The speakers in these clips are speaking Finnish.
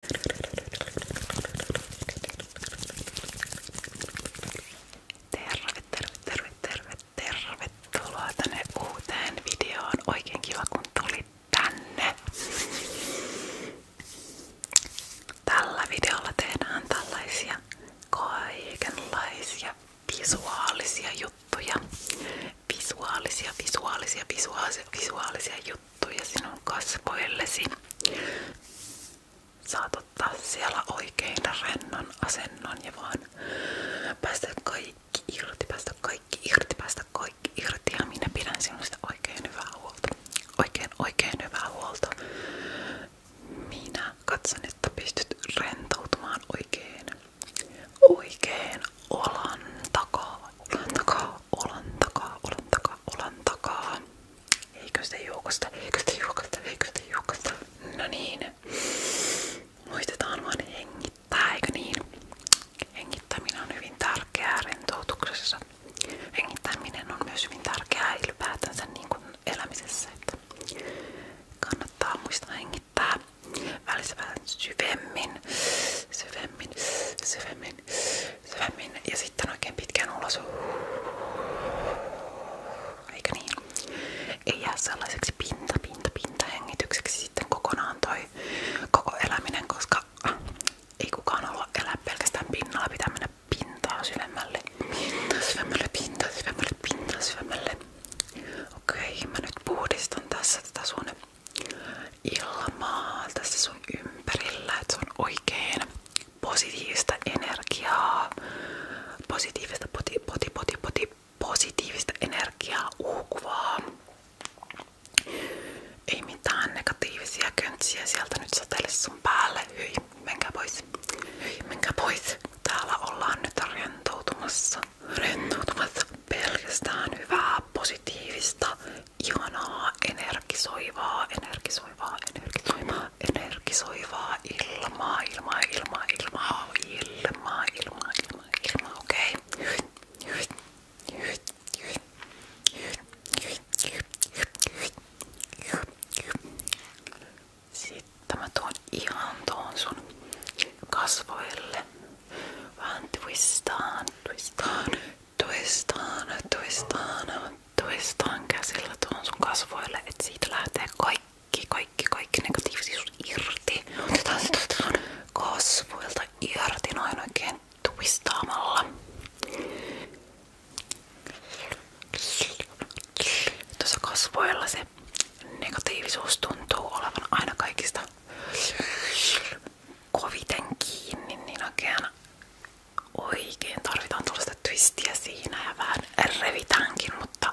Terve, terve, terve, terve, tervetuloa tänne uuteen videoon. Oikein kiva kun tulit tänne. Tällä videolla tehdään tällaisia kaikenlaisia visuaalisia juttuja. Visuaalisia, visuaalisia, visuaalisia, visuaalisia juttuja juttuja sinun kasvoillesi. Saat ottaa siellä oikein rennon asennon ja vaan päästä kaikki irti, päästä kaikki irti, päästä kaikki irti. Ja minä pidän sinusta oikein hyvää huolta. Oikein, oikein hyvää huolta. Minä katson, että pystyt rentoutumaan oikein, oikein olan takaa Olan takaa, olan takaa, olan takaa, olan takaa. Eikö sitä juokasta, no niin. Muistetaan vaan hengittää, eikö niin? Hengittäminen on hyvin tärkeää rentoutuksessa. Hengittäminen on myös hyvin tärkeää ylipäätänsä niin kuin elämisessä. kannattaa muistaa hengittää välissä syvemmin, syvemmin, syvemmin, syvemmin ja sitten oikein pitkään ulos. Eikä niin? Ei jää sellaiseksi pinta, pinta, pinta hengitykseksi sitten kokonaan toi koko eläminen, koska ah, ei kukaan olla elää pelkästään pinnalla, pitää mennä pintaa syvemmälle. Pinta syvemmälle, pinta syvemmälle, pinta syvemmälle. Okei, okay, mä nyt puhdistan tässä tätä sun ilmaa tässä sun ympärillä, että se on oikein positiivista energiaa, positiivista poti, poti, poti, poti, positiivista energiaa uhkuvaa. Ei mitään negatiivisia köntsiä sieltä nyt satele sun päälle. Hyi, menkää pois. Hyi, menkää pois. Täällä ollaan nyt rentoutumassa. Rentoutumassa pelkästään hyvää, positiivista, ihanaa, energisoivaa, energisoivaa, energisoivaa, energisoivaa ilmaa, ilmaa, ilmaa, ilmaa, ilmaa, ilmaa, ilmaa, ilmaa, okei. ihan tuon sun kasvoille. Vaan twistaan, twistaan. Tuistaan, tuistaan, tuistaan käsillä tuon sun kasvoille, että siitä lähtee kaikki, kaikki, kaikki negatiivisuus irti. Otetaan se kasvoilta irti noin oikein tuistaamalla. Tuossa kasvoilla se negatiivisuus tuntuu olevan aina kaikista koviten kiinni, niin oikein, oikein tarvitaan tuollaista twistiä siinä ja vähän revitäänkin, mutta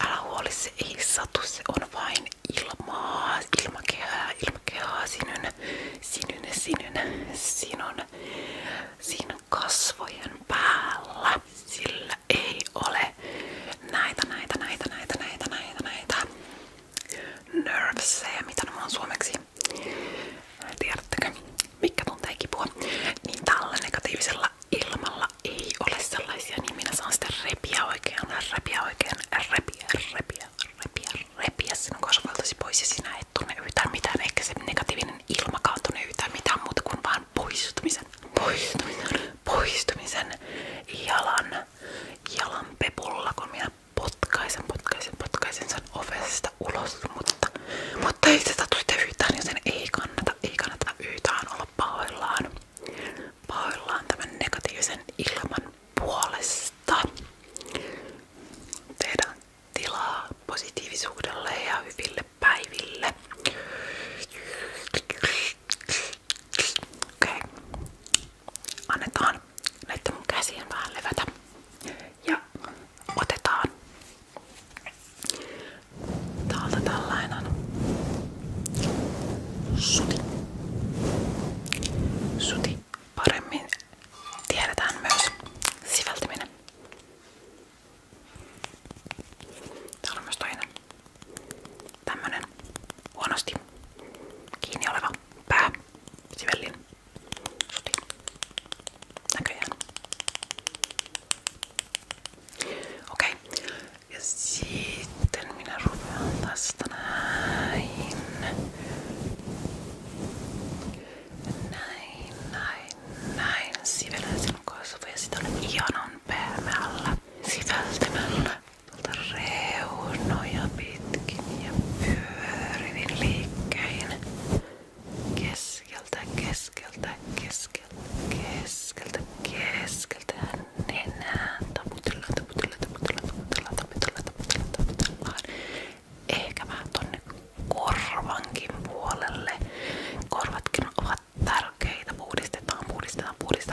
älä huoli, se ei satu, se on vain ilmaa, ilmakehää, ilmakehää, sinun, sinun, sinun, sinun, sinun kasvojen päällä. Sillä ei ole näitä, näitä, näitä, näitä, näitä, näitä, näitä nerves, mitä nämä on suomeksi. Tiedättekö, mikä tuntee kipua? Niin tällä negatiivisella ilmalla ei ole sellaisia, niin minä saan sitä repiä oikein, repiä oikein, repiä, repiä, repiä, repiä pois sinä et tunne yhtään mitään, negatiivinen ilmakaan niin tunne yhtään mitään muuta kuin vaan poistumisen, poistumisen, poistumisen jalan, jalan pepulla, kun minä potkaisen, potkaisen, potkaisen sen ovesta ulos, mutta, mutta ei se satu sitä yhtään, joten ei kannata, ei kannata yhtään olla pahoillaan, pahoillaan tämän negatiivisen ilman puolesta. Tehdään tilaa positiivisuudelle ja hyville päiville. Okei, okay annetaan näiden mun käsien vähän levätä ja otetaan täältä tällainen suti. Suti paremmin tiedetään myös siveltäminen. Täällä on myös toinen tämmönen huonosti kiinni oleva pää sivellin suti näköjään. Okei. Okay. Ja sitten minä rupean tästä näin. Näin, näin, näin. Sivelen sen kasvoja. Sitä on ihanan pehmeällä siveltämällä tuolta reunoja pitkin ja pyörivin liikkein keskeltä, keskeltä, keskeltä, keskeltä, keskeltä ja nenään taputellaan, taputellaan, taputellaan, taputellaan, taputellaan, taputellaan, taputellaan. Ehkä vähän tonne korvankin puolelle. Korvatkin ovat tärkeitä. Puhdistetaan, puhdistetaan, puhdistetaan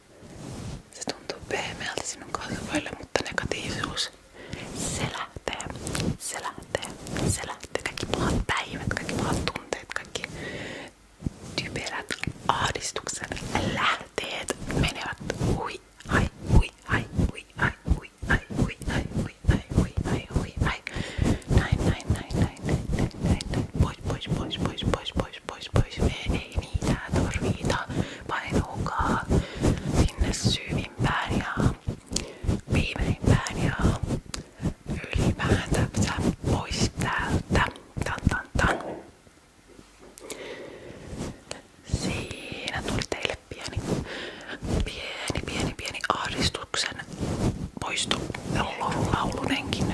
se tuntuu pehmeältä sinun kasvoille, mutta negatiivisuus. Se lähtee, se lähtee, se lähtee. Kaikki pahat päivät, kaikki pahat tunteet, kaikki typerät ahdistukset, lähteet menevät hui, ai, hui, ai, hui, ai, hui, ai, hui, ai, hui, ai, hui, ai, hui, ai. Näin, näin, näin, näin, näin, näin, näin, näin. Pois, pois, pois, pois, pois, pois, pois, pois. Me ei mitään tarvita. Painuukaa sinne syvimpään ja viimeimpään ja ylipäätänsä pois täältä. Tan, tan, tan. Siinä tuli teille pieni, pieni, pieni, pieni ahdistuksen poisto laulunenkin.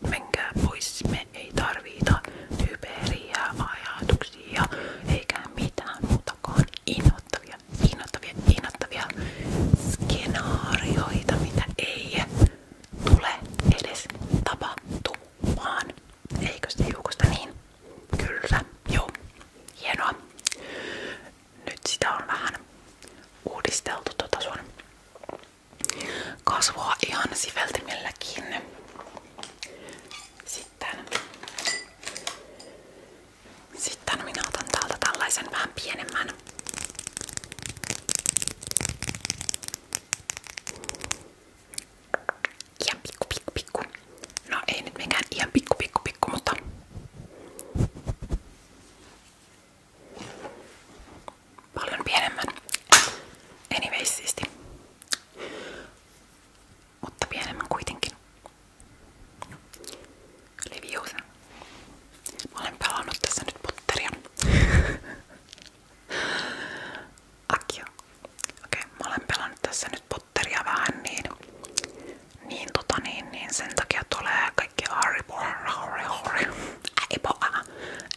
menkää pois, me ei tarvita typeriä ajatuksia eikä mitään muutakaan innoittavia, innoittavia, innoittavia skenaarioita, mitä ei tule edes tapahtumaan. Eikö se juukosta niin? Kyllä, joo. Hienoa. Nyt sitä on vähän uudisteltu tota sun kasvaa ihan siveltimelläkin. Sitten, sitten minä otan täältä tällaisen vähän pienemmän. pikku pikku pikku. No ei nyt mikään pikku pikku pikku, mutta paljon pienemmän. Anyways siisti. Mutta pienemmän kuitenkin. Leviosa. Mä olen pelannut tässä nyt potteria. Akio. Okei, mä olen pelannut tässä nyt potteria vähän niin. Niin tota niin, niin sen takia tulee aika kaikki Harry Potter, Harry, Harry, Harry Potter,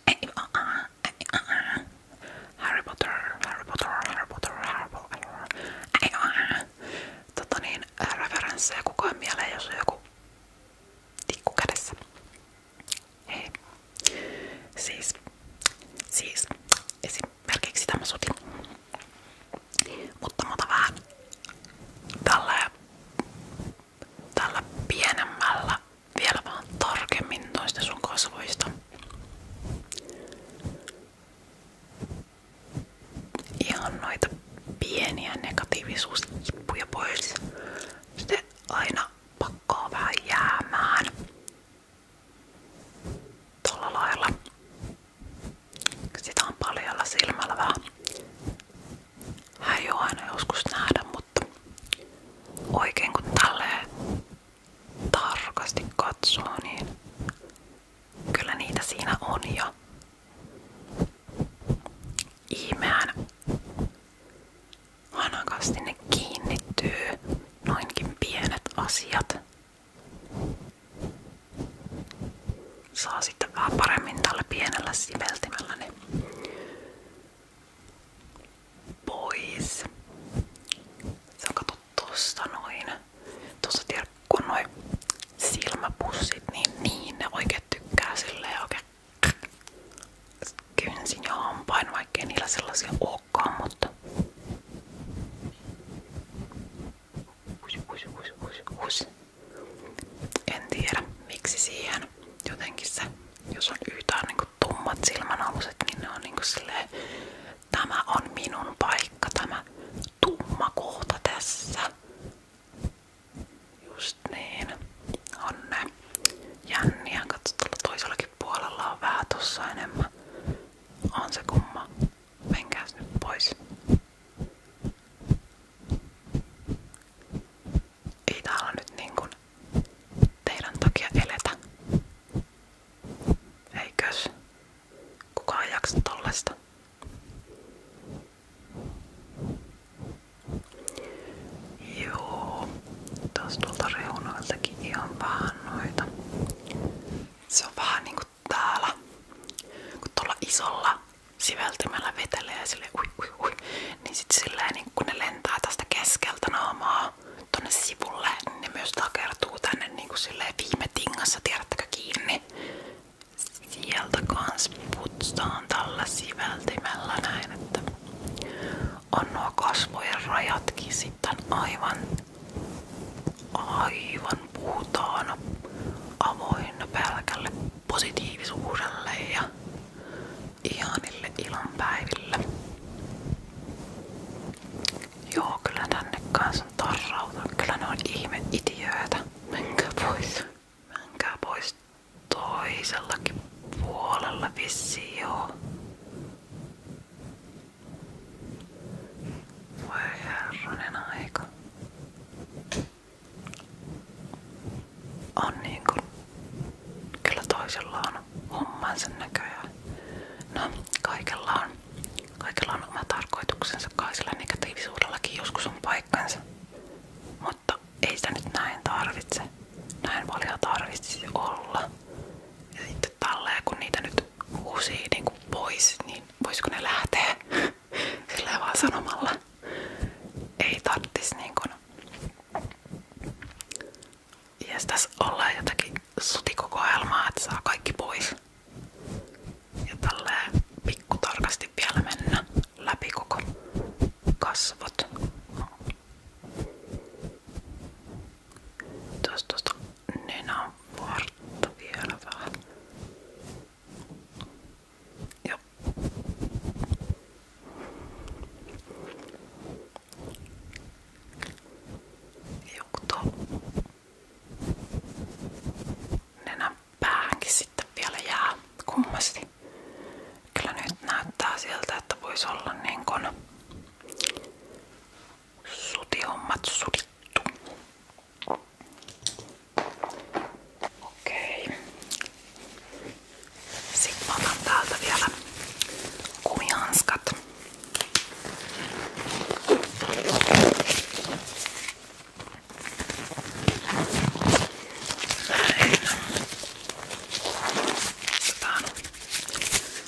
Harry Potter, Harry Potter, Harry Potter, Harry Potter, tota niin, referenssejä kukaan mieleen, jos on joku tikku kädessä. Hei. Siis, siis, esimerkiksi tämä soti. Mutta muuta vähän tällä tällä pienemmällä vielä vaan tarkemmin noista sun kasvoista. Ihan noita pieniä negatiivisuuskippuja pois. Sitten aina pakkaa vähän jäämään. Tuolla lailla. Sitä on paljolla silmällä vähän Häijuu aina joskus nähdä, mutta oikein kun tälleen tarkasti katsoo, niin kyllä niitä siinä on ja ihmeään hanakasti ne kiinnittyy noinkin pienet asiat saa sitten vähän paremmin tällä pienellä siveltimellä ne pois. Se on kato tosta noin. Tuossa tiedät, kun on noin silmäpussit, niin, niin ne oikein tykkää silleen oikein kynsin ja hampain, vaikkei niillä sellaisia olekaan, mutta Hush, hush, hush, hush, hush. En tiedä miksi siihen. Jotenkin se, jos on yhtään niinku tummat silmänaluset, niin ne on niinku silleen, tämä on minun paikka, tämä tumma kohta tässä. Just niin. On ne jänniä. Katsotaan toisellakin puolella on vähän tossa enemmän. On se kumma. Menkääs nyt pois. Ei täällä nyt niinkun teidän takia eletä. Eikös kukaan jaksa tollesta? Joo, tuossa tuolta reunoiltakin ihan vähän noita. Se on vähän niinku täällä, kun tuolla isolla siveltymällä vetelee sille ui ui ui, niin sit silleen niin kun ne lentää tästä keskeltä naamaa tonne sivulle, niin ne myös takertuu tänne niin kuin silleen viime tingassa, tiedättekö kiinni. Sieltä kans putsaan tällä siveltimellä näin, että on nuo kasvojen rajatkin sitten aivan aivan puhtaana avoinna pelkälle positiivisuudelle ja ihanille ilonpäiville. Joo, kyllä tänne kanssa on tarrauta. Kyllä ne on ihme itiöitä. Menkää pois. Menkää pois toisellakin puolella vissi, joo. Voi herranen aika on niin kyllä toisella on hommansa näköjään. No, kaikella on, kaikella on oma tarkoituksensa, kai sillä negatiivisuudellakin joskus on paikkansa. Mutta ei sitä nyt näin tarvitse. Näin paljon tarvitsisi olla. Ja sitten tälleen, kun niitä nyt uusii niin kuin pois, niin voisiko ne lähteä? Silleen vaan sanomalla. Ei tarttis niinkun Jes tässä ollaan jotakin sutikokoelmaa, että saa kaikki pois. Ja tälleen pikkutarkasti vielä mennä läpi koko kasvot. Tuosta tuosta nenän vartta vielä vähän. Ja. Juuto. Nenän päähänkin sitten vielä jää kummasti. Kyllä nyt näyttää siltä, että voisi olla niin kuin sutihommat sudittu. Okei. Sitten otan täältä vielä kumihanskat. Otetaan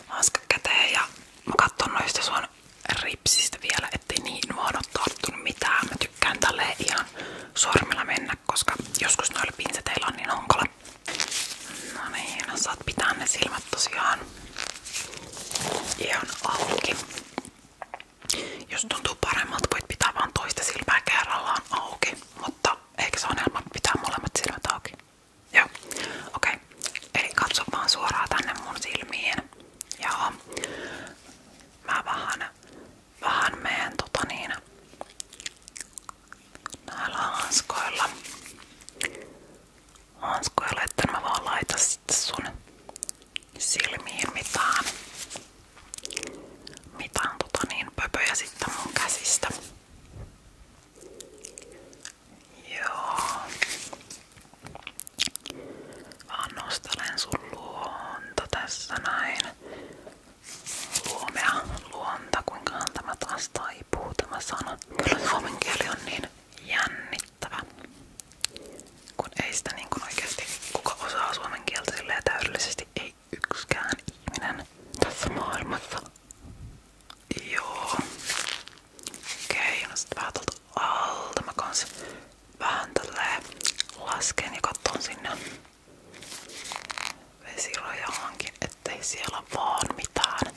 hanskat käteen ja mä katson noista sun ripsistä vielä, ettei niihin vaan ole tarttunut mitään. Mä tykkään tälle ihan sormilla mennä, koska joskus noilla pinseteillä on niin hankala. No niin, no saat pitää ne silmät tosiaan ihan auki. Jos tuntuu paremmalta, voit pitää vaan toista silmää kerrallaan auki, mutta ehkä se on helppo pitää molemmat silmät auki. Joo, okei. Okay. Eli katso vaan suoraan tänne mun silmiin. Joo mä vähän, vähän meen tota niin, näillä hanskoilla. Hanskoilla, että mä vaan laita sitten sun silmiin mitään, mitään tota niin pöpöjä sitten mun käsistä. Joo. Vaan nostelen sun tässä näin. Luomea luonta, kuinka tämä taas taipuu tämä sana. Kyllä suomen kieli niin jännittävä, kun ei sitä niin oikeasti kuka osaa suomen kieltä silleen ei yksikään ihminen tässä maailmassa. Joo. Okei, okay, on vähän tälleen lasken ja katson sinne vesirajaankin, ettei siellä vaan mitään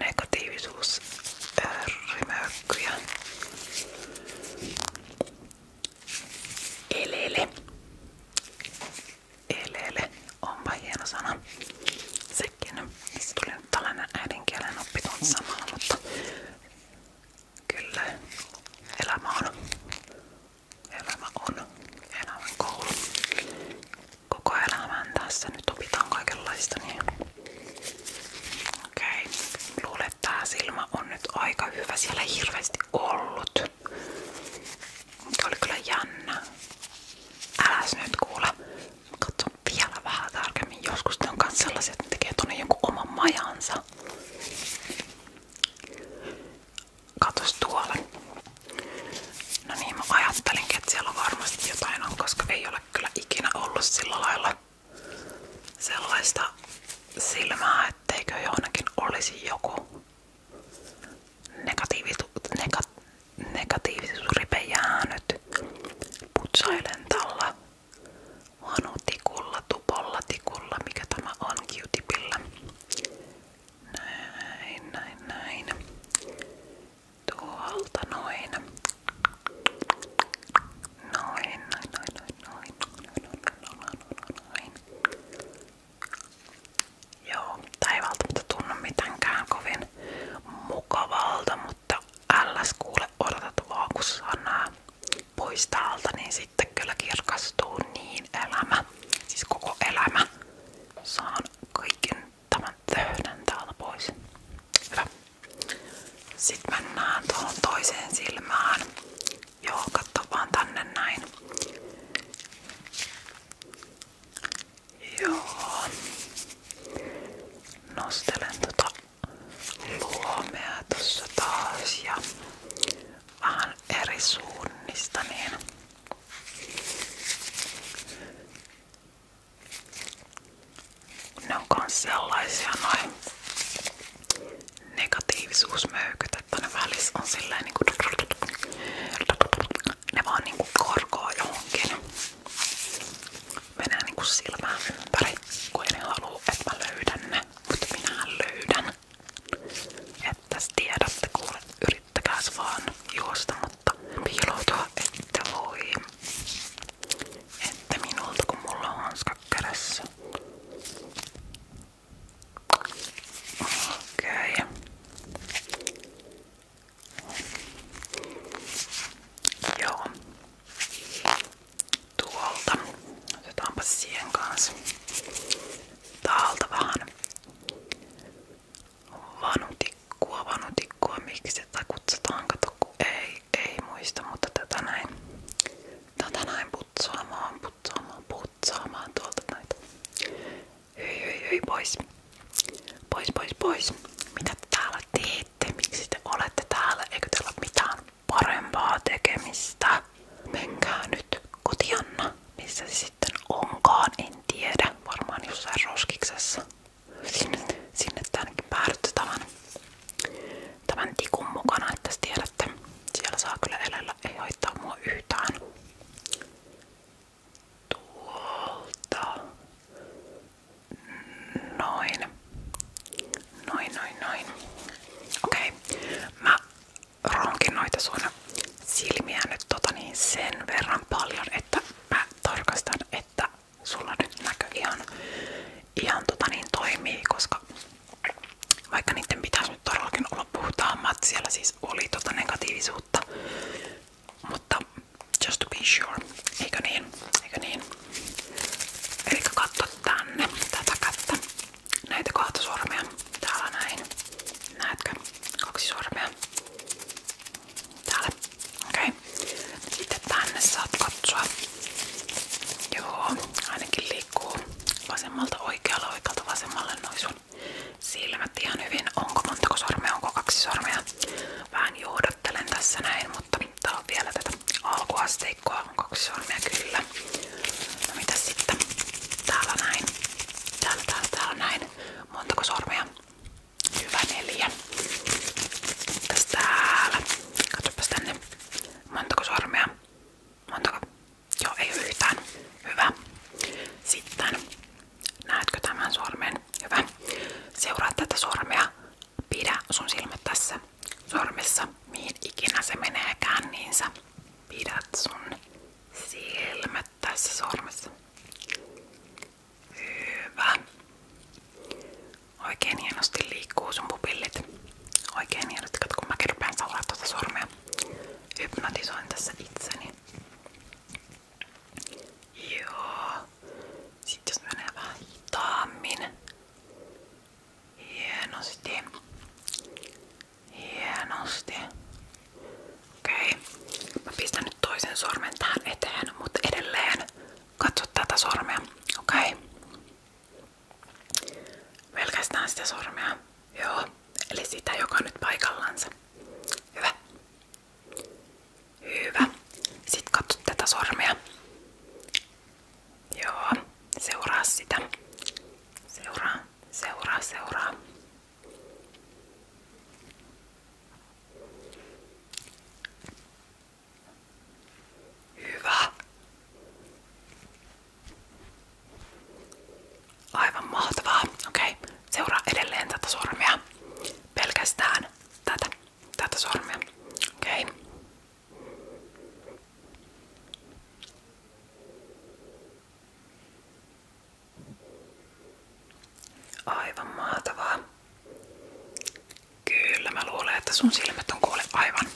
negatiivisuus rimökkyjä. Elele. Elele. Onpa hieno sana. Se merkin. Se tuli nyt tällainen äidinkielen oppitunti samalla, mutta kyllä elämä on. Elämä on. Elämän koulu. Koko elämän tässä nyt opitaan kaikenlaista. Niin... Okei. Okay. Luulen, että tää silmä on nyt aika hyvä. Siellä ei hirveästi ollut. Oli kyllä jännä. Äläs nyt kuule katson vielä vähän tarkemmin. Joskus ne on myös sellaisia, että ne tekee tuonne jonkun oman majansa. Katos tuolla. No niin, mä ajattelinkin, että siellä varmasti jotain on, koska ei ole kyllä ikinä ollut sillä lailla sellaista silmää, etteikö johonkin olisi joku negatiivi, nega, negatiivisuusripe jäänyt putsailen tällä vanutikulla, mikä tämä on Q-tipillä. Näin, näin, näin. Tuolta noin. Noin, noin, noin, noin, noin, noin, noin, noin, Joo, tää ei välttämättä tunnu mitenkään kovin mukavalta, mutta älläs kuule odotat vaan kun sanaa pois täältä, niin sitten kyllä kirkastuu niin elämä, siis koko elämä. Saan kaiken tämän töhdän täältä pois. Hyvä. Sitten mennään tuohon toiseen silmään. Joo, katso vaan tänne näin. Joo. Nostelen tota luomea tuossa taas ja vähän eri suunnista niin ne on kans sellaisia noin negatiivisuusmöykyt, että ne välissä on silleen niinku ne vaan niinku korkoa johonkin menee niinku silmään ympäri, kun ei ne halua, että mä löydän ne. Mutta minä löydän. Että tiedätte kuule, yrittäkääs vaan juosta, mutta piiloutua ette voi. Että minulta, kun mulla on hanska kädessä. Okei. Okay. Joo. Tuolta. Otetaanpa siihen kanssa. Täältä vähän vanutikkua, vanutikkua, miksi sitä kutsutaan, kato kun ei, ei muista, mutta tätä näin, tätä näin putsoamaan, putsoamaan, putsaamaan tuolta näitä. Hyi, hyi, hyi Pois, pois, pois. Mitä te täällä teette? Miksi te olette täällä? Eikö teillä ole mitään parempaa tekemistä? Menkää nyt kotianna. Missä se sitten onkaan, en tiedä. Varmaan jossain roskiksessa. Sinne, sinne ainakin päädytte tämän, tämän tikun mukana, että tiedätte. Siellä saa kyllä elellä, ei haittaa mua yhtään tuolta. Noin. Noin, noin, noin. Okei. Mä ronkin noita sun silmiä nyt tota niin sen verran paljon, että mä tarkastan, että sulla nyt näkö ihan, ihan tota niin toimii, koska vaikka niiden pitäisi nyt todellakin olla puhtaammat, siellä siis oli tota negatiivisuutta mutta just to be sure, eikö niin? Eikö niin? Eli katso tänne tätä kättä. Näitä kahta sormea. Täällä näin. Näetkö? Kaksi sormea. Täällä. Okei. Okay. Sitten tänne saat katsoa. Joo, ainakin liikkuu vasemmalta oikealle, oikealta vasemmalle noin sun silmät ihan hyvin. Onko montako sormea, onko kaksi sormea? Vähän johdattelen tässä näin, mutta tää vielä tätä alkuasteikkoa. kaksi sormea kyllä. No mitä sitten? Täällä näin. Täällä, täällä, näin. Montako sormea? Hyvä neljä. Mitäs täällä? Katsopas Montako sormea? Montako? Joo, ei yhtään. Hyvä. Sitten näetkö tämän sormen? Hyvä. Seuraa tätä sormea. Pidä sun silmät tässä sormessa, mihin ikinä se meneekään, niin sä pidät sun silmät tässä sormessa. Hyvä. Oikein hienosti liikkuu sun pupillit. Oikein hienosti, kun mä kerpeen seuraa tuota sormea. Hypnotisoin tässä itseni. Joo. Sitten jos menee vähän hitaammin. Hienosti. Hienosti. Okei. Mä pistän nyt toisen sormen tähän eteen, mutta edelleen katso tätä sormea. Okei. Pelkästään sitä sormea. Joo. Eli sitä, joka on nyt paikallansa. Hyvä. Hyvä. Sitten katso tätä sormea. Joo, seuraa sitä. Seuraa, seuraa, seuraa. Hyvä. Aivan mahtavaa. Okei, okay. seuraa edelleen tätä sormea. Pelkästään tätä, tätä sormea. Okei. Okay. Aivan mahtavaa. Kyllä mä luulen, että sun silmät on kuule aivan,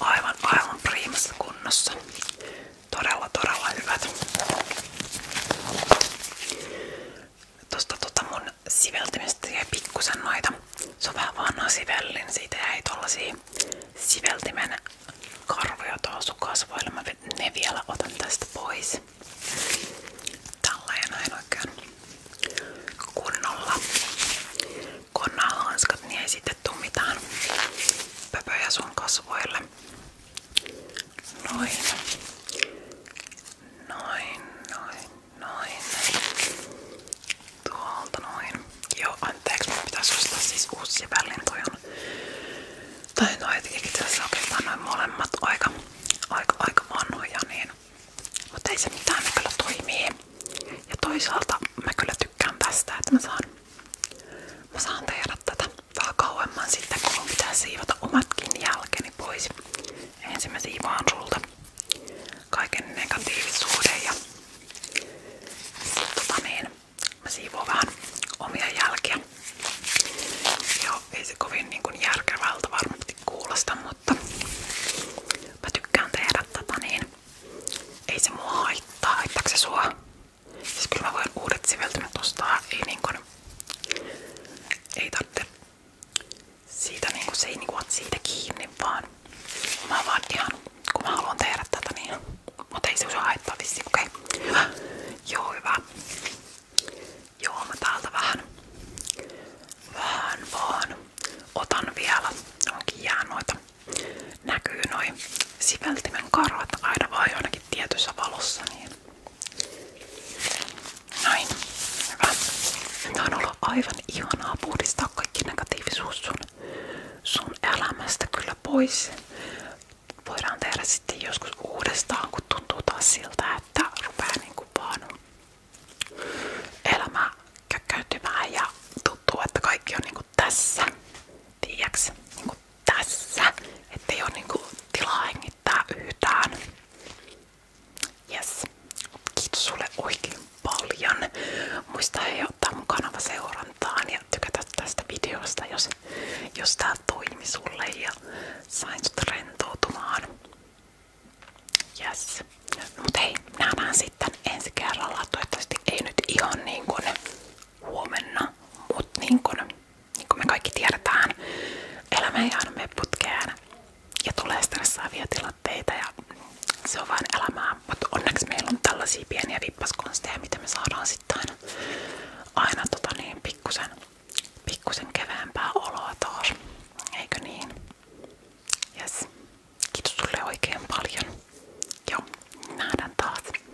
aivan, aivan priimassa kunnossa. Todella, todella hyvät. Tuosta tota mun siveltimistä jäi pikkusen noita. Se on vähän vanha sivellin, siitä jäi tollasia siveltimen karvoja tuohon sun kasvoille. Mä ne vielä otan tästä pois. Tällä ja oikein kunnolla. Kun nämä hanskat, niin ei sitten tuu mitään pöpöjä sun kasvoille. Noin. Noin, noin, noin. Tuolta noin. Joo, anteeksi, mun pitäisi ostaa siis uusia on, tai no itse asiassa oikeastaan molemmat aika, aika, aika vanhoja niin. Mutta ei se mitään, ne kyllä Ja toisaalta mä kyllä tykkään tästä, että mä saan, mä saan tehdä tätä kauemman sitten, kun mun pitää siivota omatkin jälkeni pois. Ensin mä siivoan sulta kaiken negatiivisuuden ja sit, tota niin, mä siivoan vähän omia jälkiä. Joo, ei se kovin niin kuin järkevältä varmasti kuulosta, mutta mä tykkään tehdä tätä niin ei se mua haittaa. Haittaako se sua? Siis kyllä uudet siveltimet ei niinku, ei tarvitse siitä niinku, se ei niinku siitä kiinni vaan mä vaan kun mä haluan tehdä niin ei se usein haittaa okei okay. hyvä, joo hyvä joo vähän vähän otan vielä onkin jää näkyy noin siveltimen karvat aina vaan jotenkin tietyssä valossa. Niin. Näin. Hyvä. Tää on ollut aivan ihanaa puhdistaa kaikki negatiivisuus sun, sun elämästä kyllä pois. Voidaan tehdä sitten joskus uudestaan, kun tuntuu taas siltä, että rupeaa niinku vaan elämä käkkeytymään ja tuntuu, että kaikki on niinku tässä tiiäks, niinku tässä, ettei oo niinku tilaa hengittää yhtään. Yes. Kiitos sulle oikein paljon. Muista hei ottaa mun kanava seurantaan ja tykätä tästä videosta, jos, jos tää toimi sulle ja sain sut rentoutumaan. Yes. Mut hei, nähdään sitten ensi kerralla. Toivottavasti ei nyt ihan niinkun huomenna, mut niinkun niin kuin me kaikki tiedetään, elämä ei aina mene putkeen ja tulee stressaavia tilanteita ja se on vain elämää, mutta onneksi meillä on tällaisia pieniä vippaskonsteja, mitä me saadaan sitten aina, aina tota niin, pikkusen, pikkusen keveämpää oloa taas, eikö niin? Yes. Kiitos sulle oikein paljon. Joo, nähdään taas.